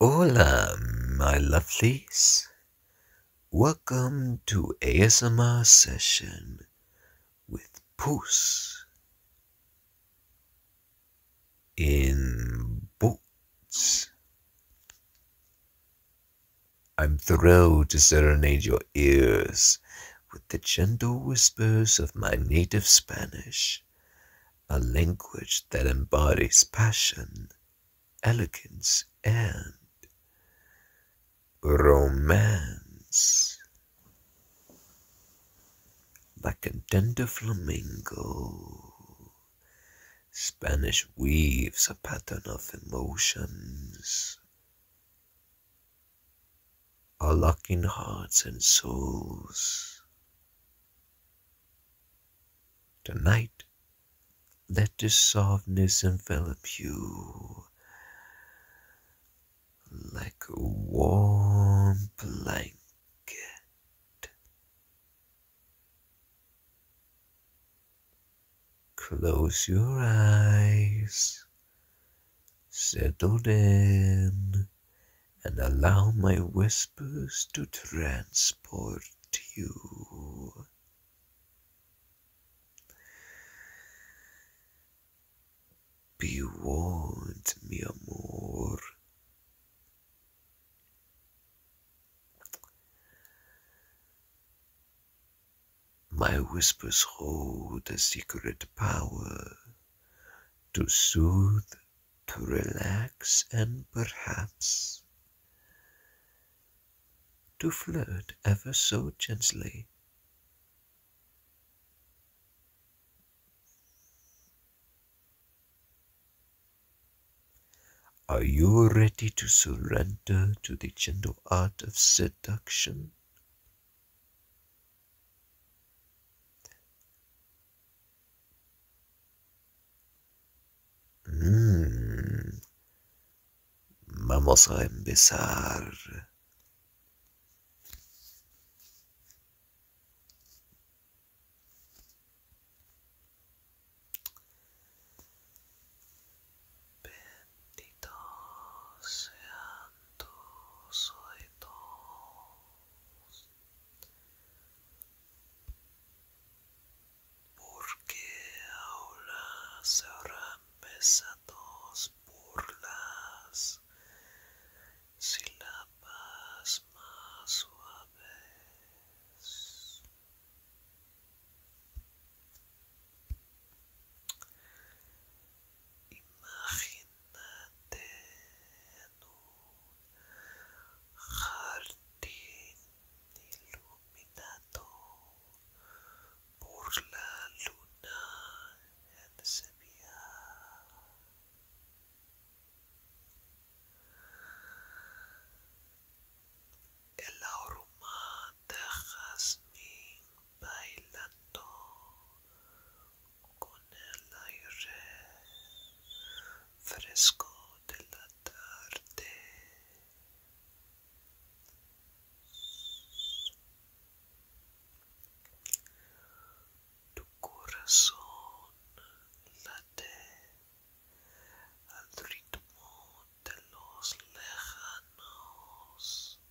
Hola, my lovelies. Welcome to ASMR session with Puss in Boots. I'm thrilled to serenade your ears with the gentle whispers of my native Spanish a language that embodies passion, elegance, and romance. Like a tender flamingo, Spanish weaves a pattern of emotions are locking hearts and souls. Tonight, let this softness envelop you like a warm blanket. Close your eyes, settle in and allow my whispers to transport you. Be warned, mi amor. My whispers hold a secret power to soothe, to relax, and perhaps to flirt ever so gently. Are you ready to surrender to the gentle art of seduction? Mm. Vamos a empezar. Bendito sea espantoso de todos porque ahora se habrán pesados burlas sílabas más suaves Imagínate en un jardín iluminado por la luna en Sevilla. El Dejas jazmín bailando con el aire fresco de la tarde. Tu corazón late al ritmo de los lejanos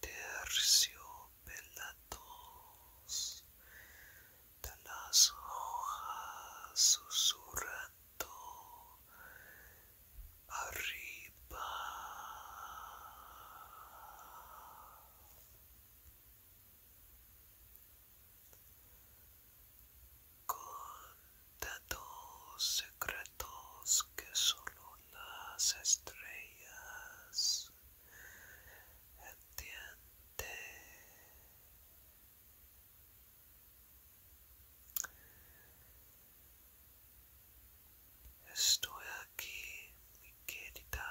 terciopelados de las hojas susurrando arriba con tantos secretos que solo las estrellas. Entiende. Estoy aquí, mi querida,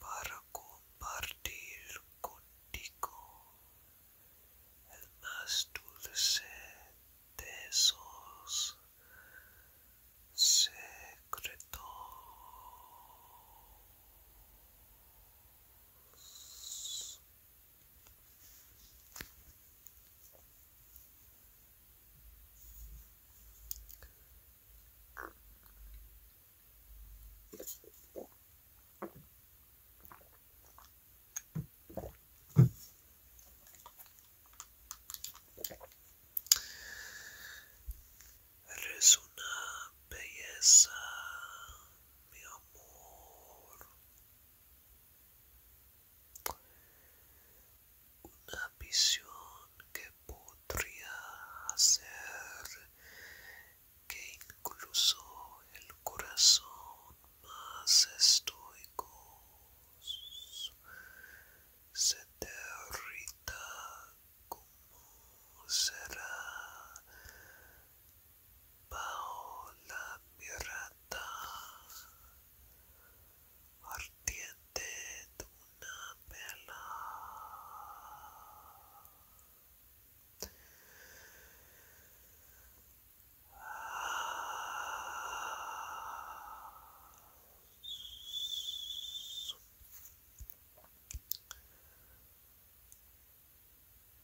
para compartir contigo el más dulce de esos secretos. Eres una belleza, mi amor. Una visión que podría hacer que incluso el corazón más estoico se derrita como será paola la ardiente de una vela.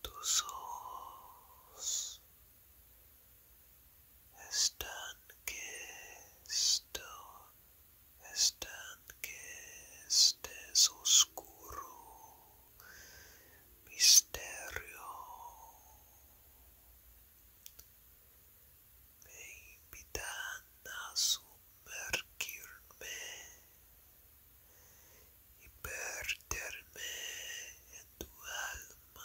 Tus ojos están que esto, están que estés oscuro misterio me invitan a sumergirme y perderme en tu alma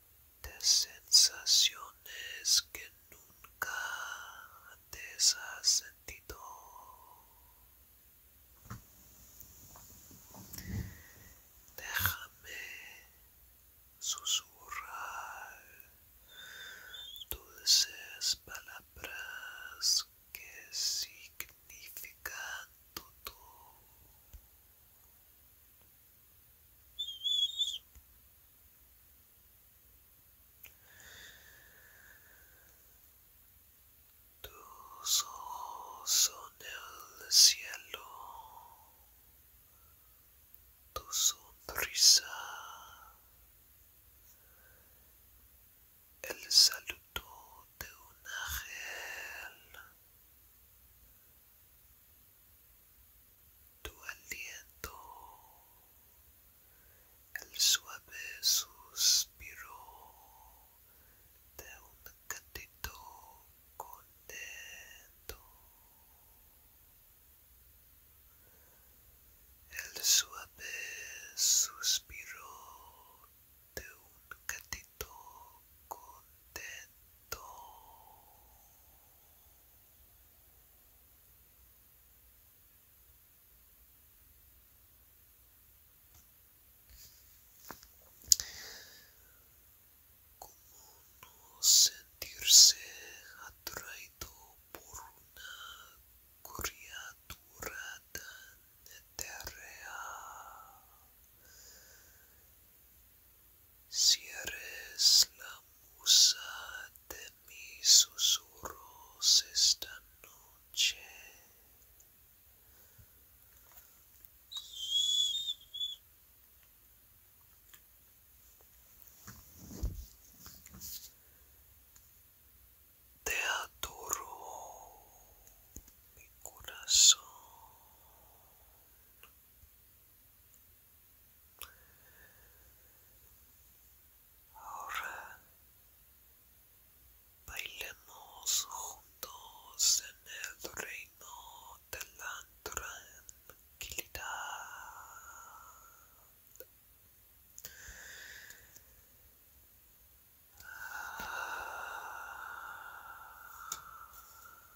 de sensaciones que nunca antes has sentido. Déjame susurrar dulces palabras que significan todo. Tus ojos son el cielo, tu sonrisa, el saludo de un ángel, tu aliento, el suave suspiro de un gatito contento, el suave suspiro de un gatito contento. Como no sentirse atraído por una criatura tan etérea si eres la musa de mis susurros esta noche. Te adoro, mi corazón. Ahora bailemos juntos en el reino de la tranquilidad.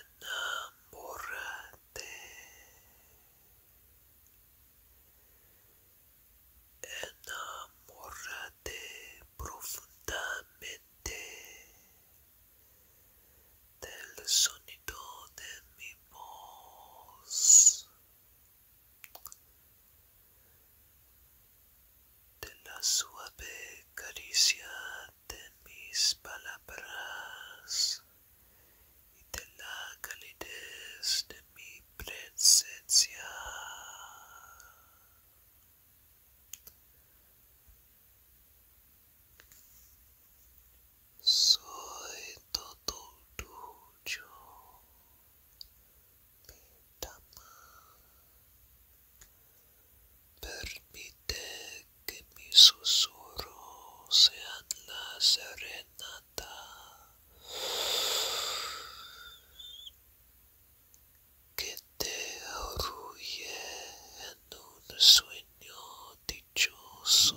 Enamórate, enamórate profundamente del sonido de mi voz de la suave caricia de mis palabras y de la calidez de mi presencia. Soy todo tuyo, Permite que mis susurros sean la serenata que te arrulle en un sueño dichoso.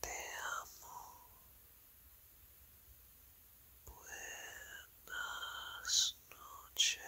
Te amo. Buenas noches.